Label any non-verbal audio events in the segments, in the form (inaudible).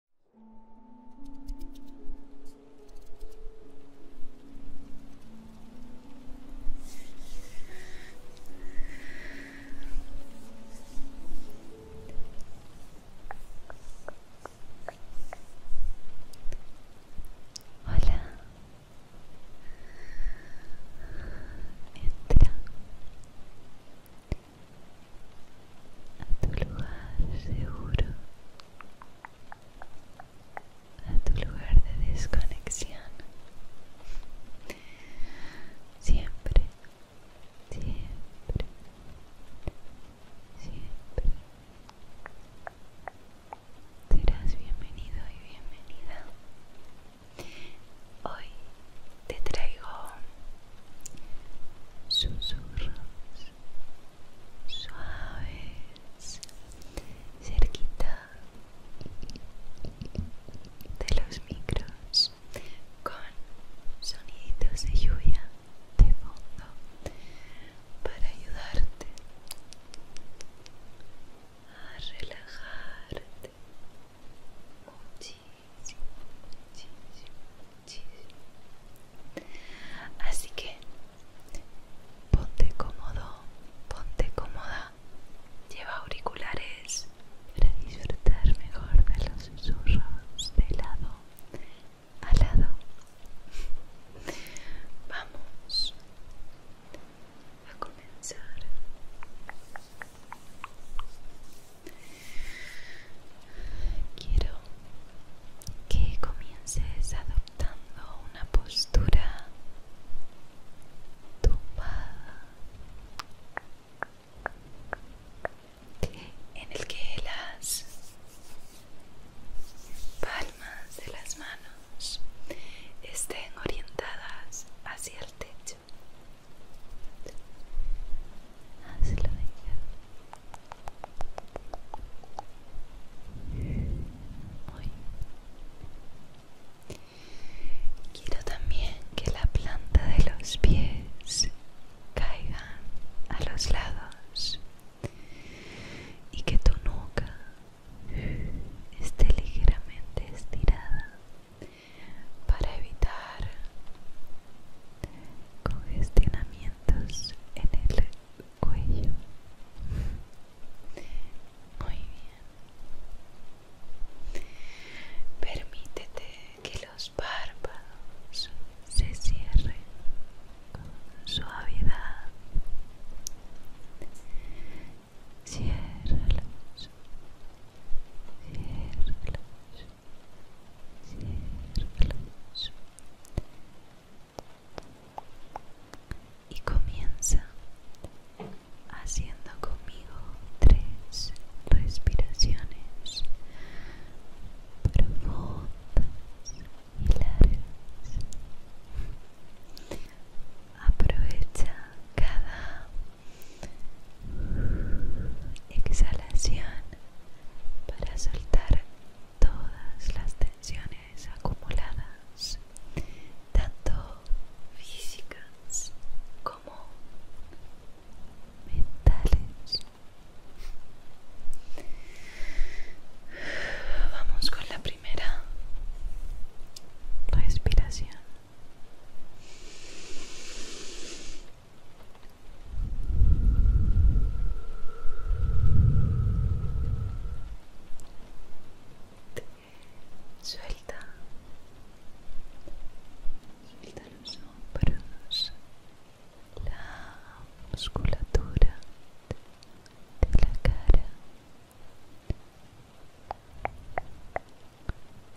Hola, entra, a tu lugar seguro, a tu lugar de desconexión. Siempre, siempre, siempre serás bienvenido y bienvenida. Hoy te traigo susurros suaves cerquita de los micros con soniditos de lluvia de fondo para ayudarte a relajarte muchísimo. Así que ponte cómodo, ponte cómoda, lleva auriculares para disfrutar mejor de los susurros de lado a lado. Vamos a comenzar. Quiero que comiences adoptando una postura tumbada en el que las palmas de las manos estén orientadas hacia el techo Quiero también que la planta de los pies caiga a los lados y que tu nuca esté ligeramente estirada para evitar congestionamientos en el cuello. Muy bien. Permítete que los párpados se cierren con suavidad. Ciérralos. Ciérralos y comienza haciendo conmigo tres respiraciones profundas y largas. Aprovecha cada exhalación para soltar todas las tensiones acumuladas, tanto físicas como mentales. Vamos con la primera respiración. Suelta, suelta los hombros, la musculatura de la cara.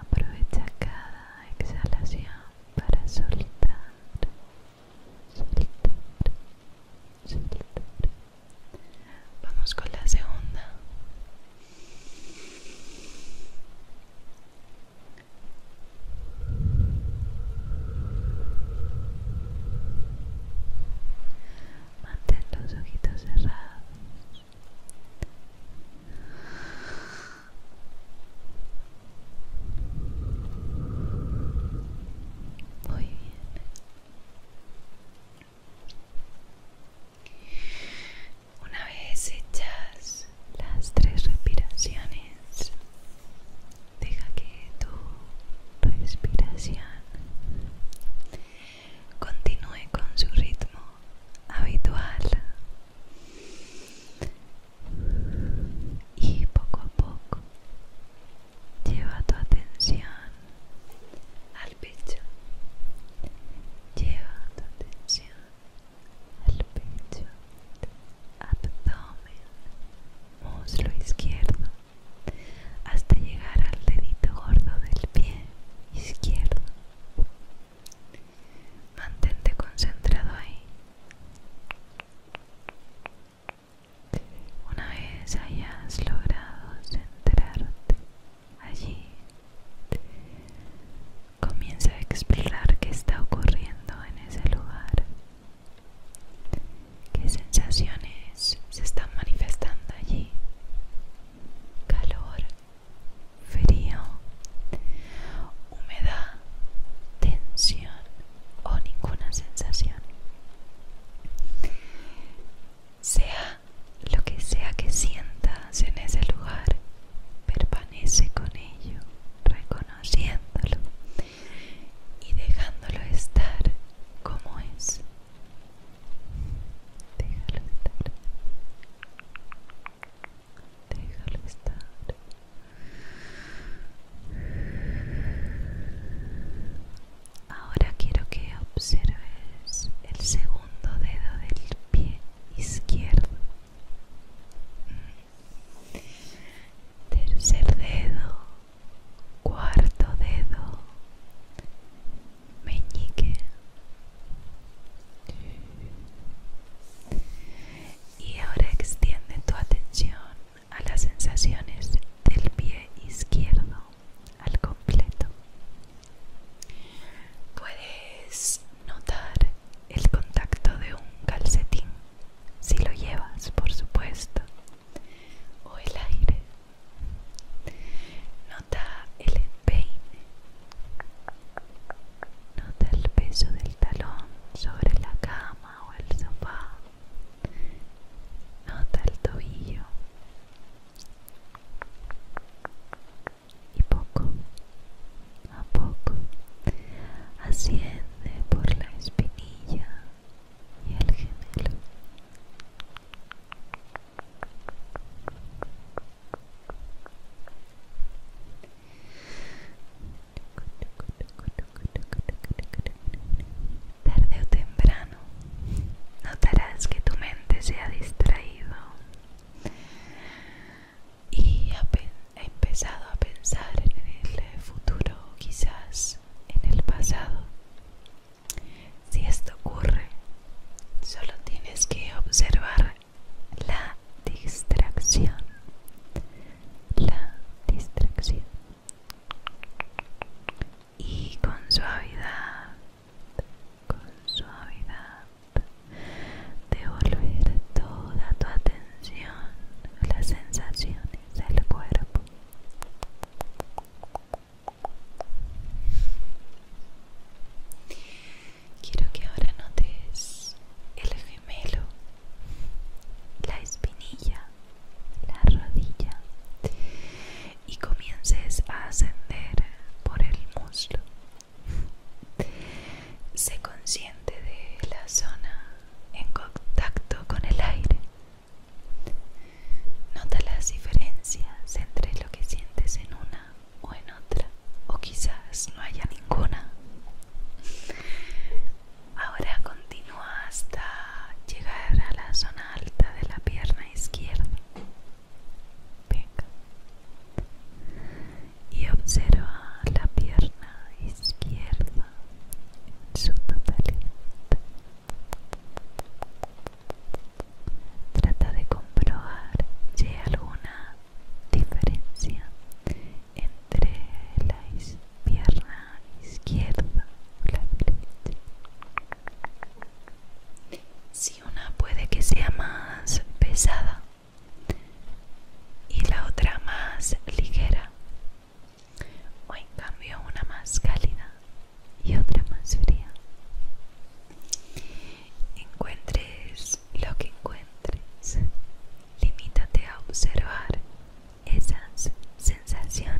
Aprovecha cada exhalación para soltar Vamos con la segunda. Mantén los ojitos cerrados. Muy bien. Una vez hechas las tres respiraciones, deja que tu respiración continúe con su ritmo habitual y poco a poco lleva tu atención al pecho lleva tu atención al pecho abdomen muslo izquierdo hasta llegar al dedito gordo del pie izquierdo mantente concentrado ahí una vez hayas logrado centrarte allí, comienza a explorar qué está ocurriendo en ese lugar, qué sensaciones se están manifestando allí, calor, frío, humedad, tensión o ninguna sensación. Sea lo que sea que sientas en ese lugar, permanece con ello, reconociéndolo y dejándolo estar como es. Déjalo estar. Déjalo estar. Ahora quiero que observes el segundo dedo del pie izquierdo. Tercer dedo, cuarto dedo, meñique. Y ahora extiende tu atención a las sensaciones del pie izquierdo al completo. Puedes notar el contacto de un calcetín, si lo llevas por supuesto, o el aire. Nota el empeine. Nota el peso del talón sobre la cama o el sofá nota el tobillo y poco a poco asciende por la espinilla y el gemelo. Tarde o temprano notarás que tu mente se ha distraído y ha, empezado a pensar en el futuro, quizás en el pasado. Si esto ocurre, solo tienes que observar la distracción. La distracción y con suavidad, con suavidad, devolver toda tu atención las sensaciones del cuerpo. Quiero que ahora notes el gemelo, la espinilla la rodilla y comiences a ascender por el muslo. Sé consciente de la zona en contacto con el aire. Nota las diferencias entre lo que sientes en una o en otra, o quizás no haya ninguna. Ahora continúa hasta llegar a la zona alta de la pierna izquierda. Venga. Y observa la pierna izquierda en su totalidad. Trata de comprobar si hay alguna diferencia entre la izquierda pierna izquierda o la derecha. Si una puede que sea más pesada y la otra más ligera, o en cambio una más cálida y otra más fría. Encuentres lo que encuentres, limítate a observar esas sensaciones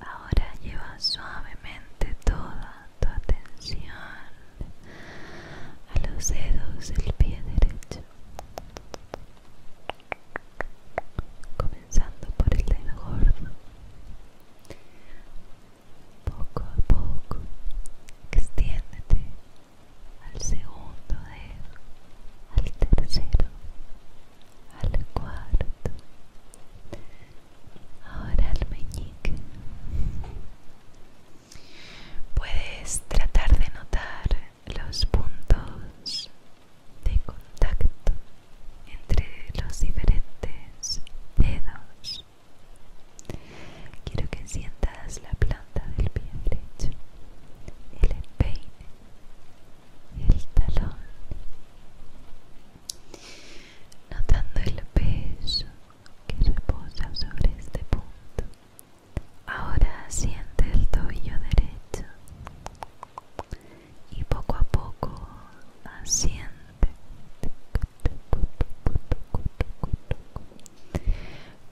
Ahora lleva suavemente toda tu atención a los dedos del pie derecho, comenzando por el dedo gordo poco a poco extiéndete al segundo dedo, al tercero, al cuarto, ahora al meñique. Puedes tratar de notar los puntos de contacto entre los diferentes dedos Quiero que sientas la planta del pie derecho, el empeine, el talón, notando el peso que reposa sobre este punto. Ahora siente el tobillo derecho y poco a poco asiente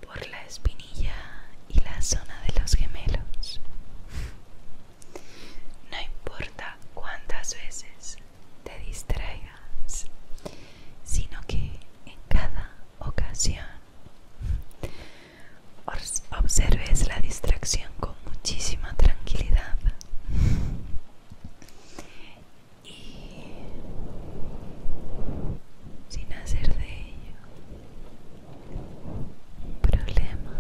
por la espinilla y la zona de los gemelos. No importa cuántas veces te distraigas, sino que en cada ocasión observes la distracción con muchísima tranquilidad y sin hacer de ello un problema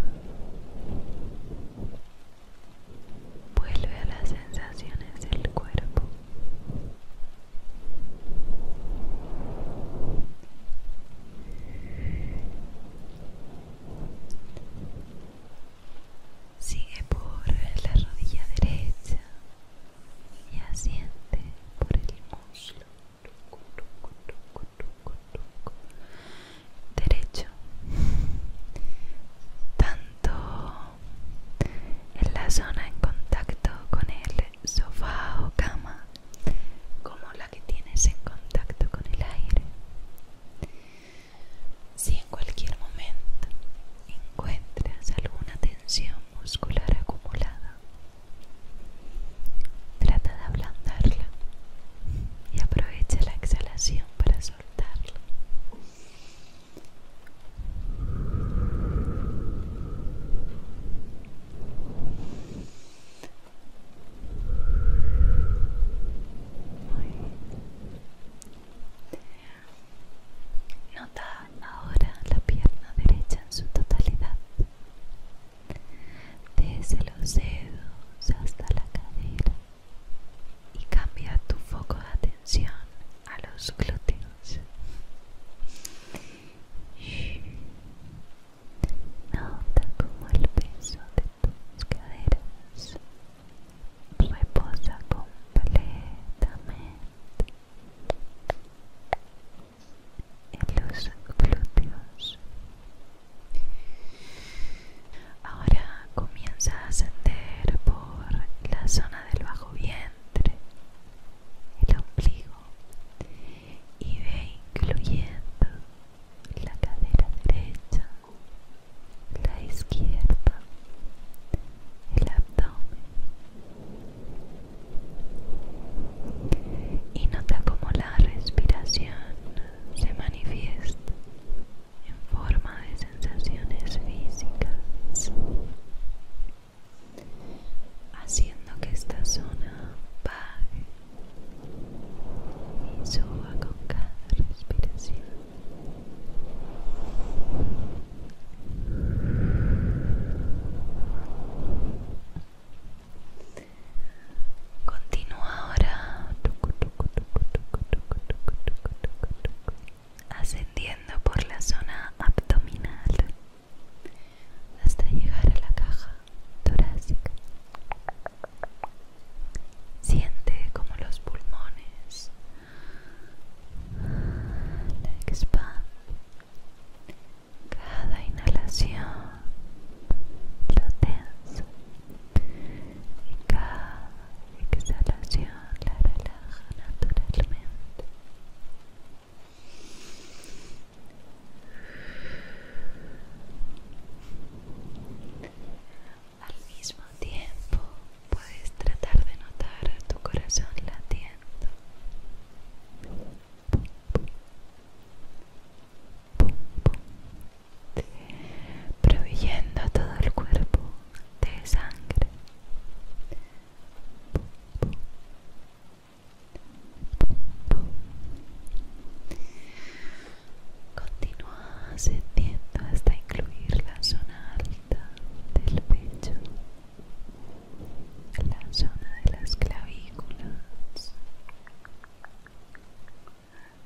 vuelve a las sensaciones del cuerpo Sigue por la rodilla derecha y asiente por el muslo derecho tanto en la zona en contacto con el sofá o cama como la que tienes en contacto con el aire si en cualquier momento encuentras alguna tensión muscular acumulada. Trata de ablandarla y aprovecha la exhalación para soltarla. Nota ahora la pierna derecha en su totalidad, desde los dedos hasta la cadera y cambia tu foco de atención a los glúteos. Nota como el peso de tus caderas reposa completamente en los glúteos. Ahora comienza a ascender por la zona del bajo vientre, el ombligo y ve incluyendo la cadera derecha, la izquierda, el abdomen, y nota cómo la respiración se manifiesta en forma de sensaciones físicas, haciendo que esta zona baje y suba con cada respiración. Continúa ahora ascendiendo por la zona abdominal hasta llegar a la caja torácica. Siente como los pulmones la expanden cada inhalación lo tensa y cada exhalación la relaja naturalmente. Al mismo tiempo puedes tratar de notar a tu corazón latiendo Proveyendo todo el cuerpo de sangre. hasta incluir la zona alta del pecho la zona de las clavículas.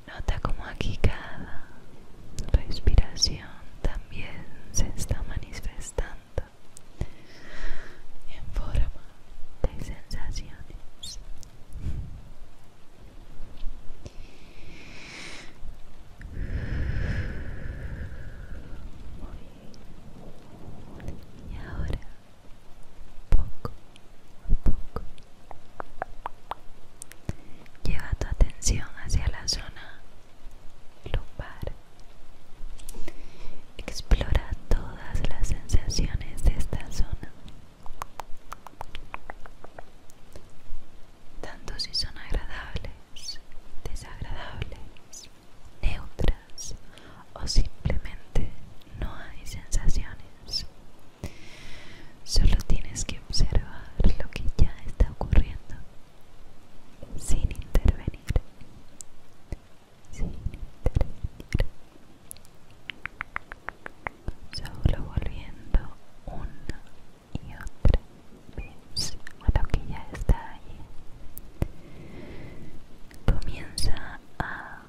Nota como aquí cada respiración también se está manifestando en forma de sensaciones y ahora poco a poco lleva tu atención hacia la zona lumbar explora todas las sensaciones de esta zona tanto si son agradables, desagradables, neutras o simplemente no hay sensaciones. Solo tienes que observar lo que ya está ocurriendo sin intervenir. Sin intervenir. Solo volviendo una y otra vez a lo que ya está ahí comienza a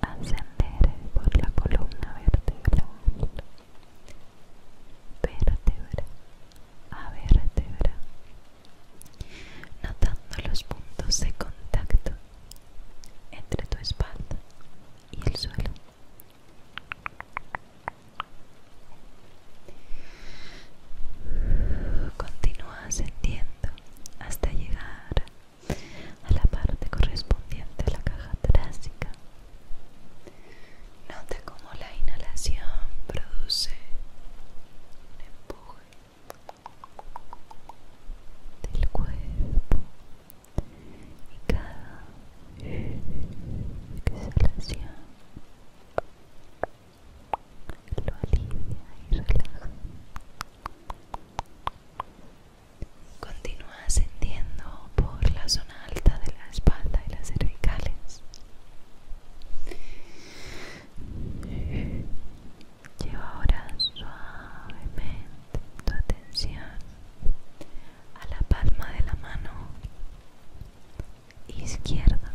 ascender por la columna vertebral, vértebra a vértebra, notando los puntos de contacto entre tu espalda y el suelo. Continúa ascendiendo hasta llegar a la parte correspondiente a la caja torácica. Nota cómo la inhalación produce un empuje del cuerpo y cada exhalación lo alivia y relaja. Continúa ascendiendo por la zona alta de la espalda y las cervicales. Lleva ahora suavemente tu atención a la palma de la mano izquierda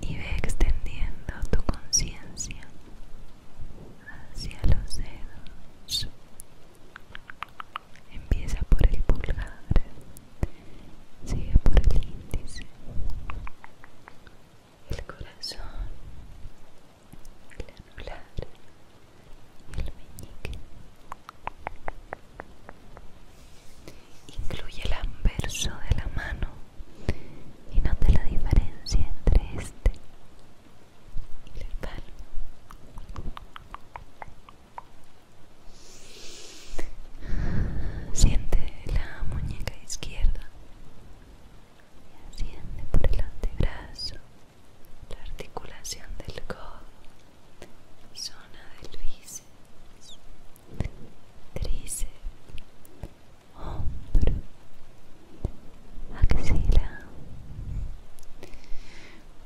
y ve extendiendo tu conciencia hacia los dedos. Empieza por el pulgar, sigue por el índice, el corazón, el anular, el meñique incluye el anverso de la mano y note la diferencia entre este y el palmo. Siente la muñeca izquierda y asciende por el antebrazo, la articulación del codo zona del bíceps, tríceps, hombro, axila.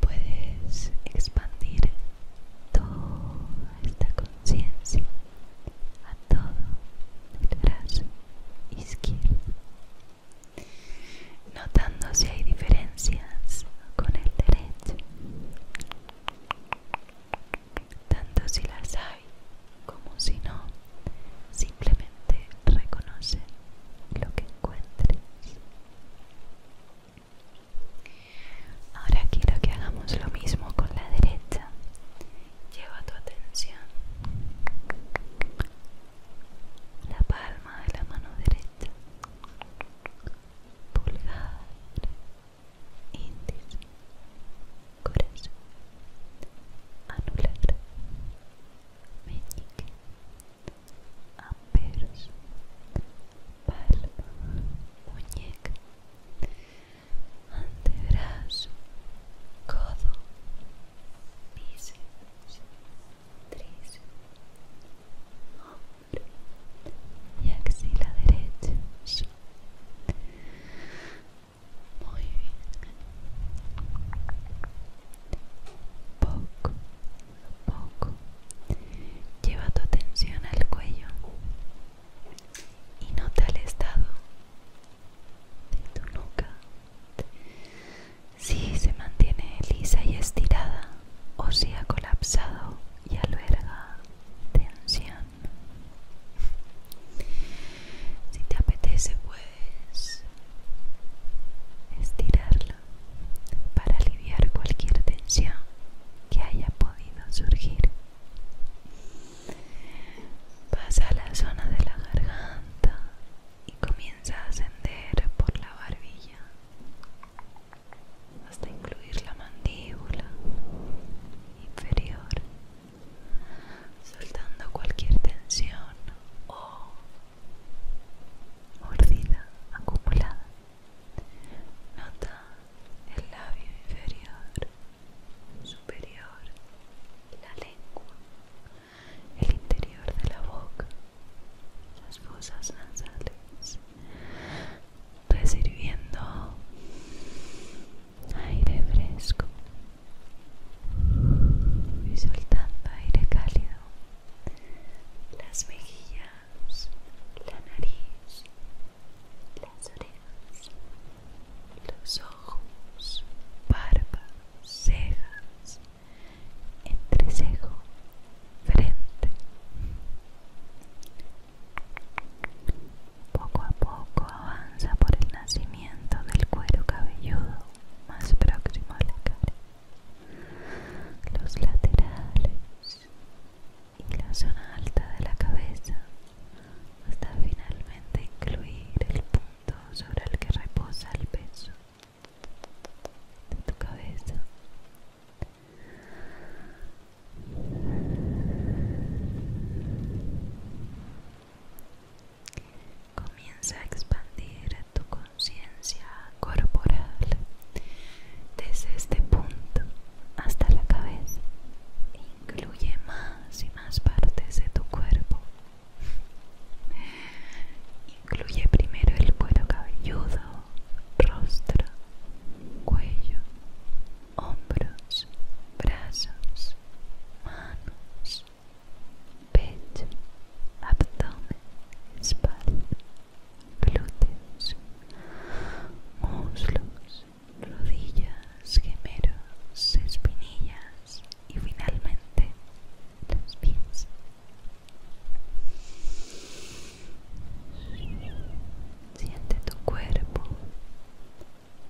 Puedes expandir toda esta conciencia a todo el brazo izquierdo, notando si hay diferencias con el derecho tanto si las hay como si no, simplemente reconoce lo que encuentres. Ahora quiero que hagamos lo mismo con la derecha. Lleva tu atención la palma de la mano derecha, pulgar, índice, corazón, anular, meñique, amperos, palma, muñeca, antebrazo, codo, bíceps, tríceps, y axila derecha. Muy bien. Poco poco. Lleva tu atención al cuello y nota el estado de tu nuca. Si se mantiene lisa y estirada o si ha colapsado y alberga tensión. (laughs) Si te apetece puedes estirarla para aliviar cualquier tensión que haya podido surgir. Pasa a la zona de la garganta y comienza a ascender por la barbilla hasta incluir la mandíbula inferior, soltando cualquier tensión o mordida acumulada. Nota el labio inferior, superior, la lengua, el interior de la boca, las fosas nasales, recibiendo aire fresco y soltando aire cálido las mejillas la nariz las orejas los ojos barbas cejas entrecejo frente poco a poco avanza por el nacimiento del cuero cabelludo más próximo a la cara, los laterales y la zona alta de la cabeza, hasta finalmente incluir el punto sobre el que reposa el peso de tu cabeza. Comienza a expandir tu conciencia corporal desde este punto hasta la cabeza. Incluye más y más partes de tu cuerpo. Incluye primero el cuero cabelludo, rostro, cuello, hombros, brazos, manos, pecho, abdomen, espalda, glúteos, muslos, rodillas, gemelos, espinillas y finalmente los pies. Siente tu cuerpo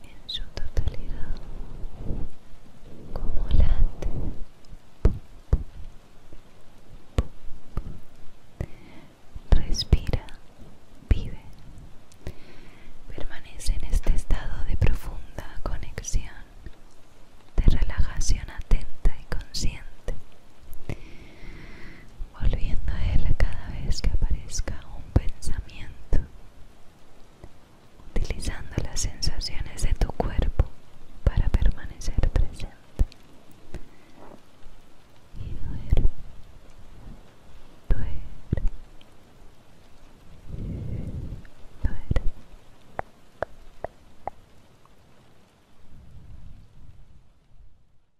en su totalidad como late respira vive permanece en este estado de profunda conexión de relajación atenta y consciente volviendo a él cada vez que aparezca un pensamiento, utilizando las sensaciones de tu cuerpo para permanecer presente. Y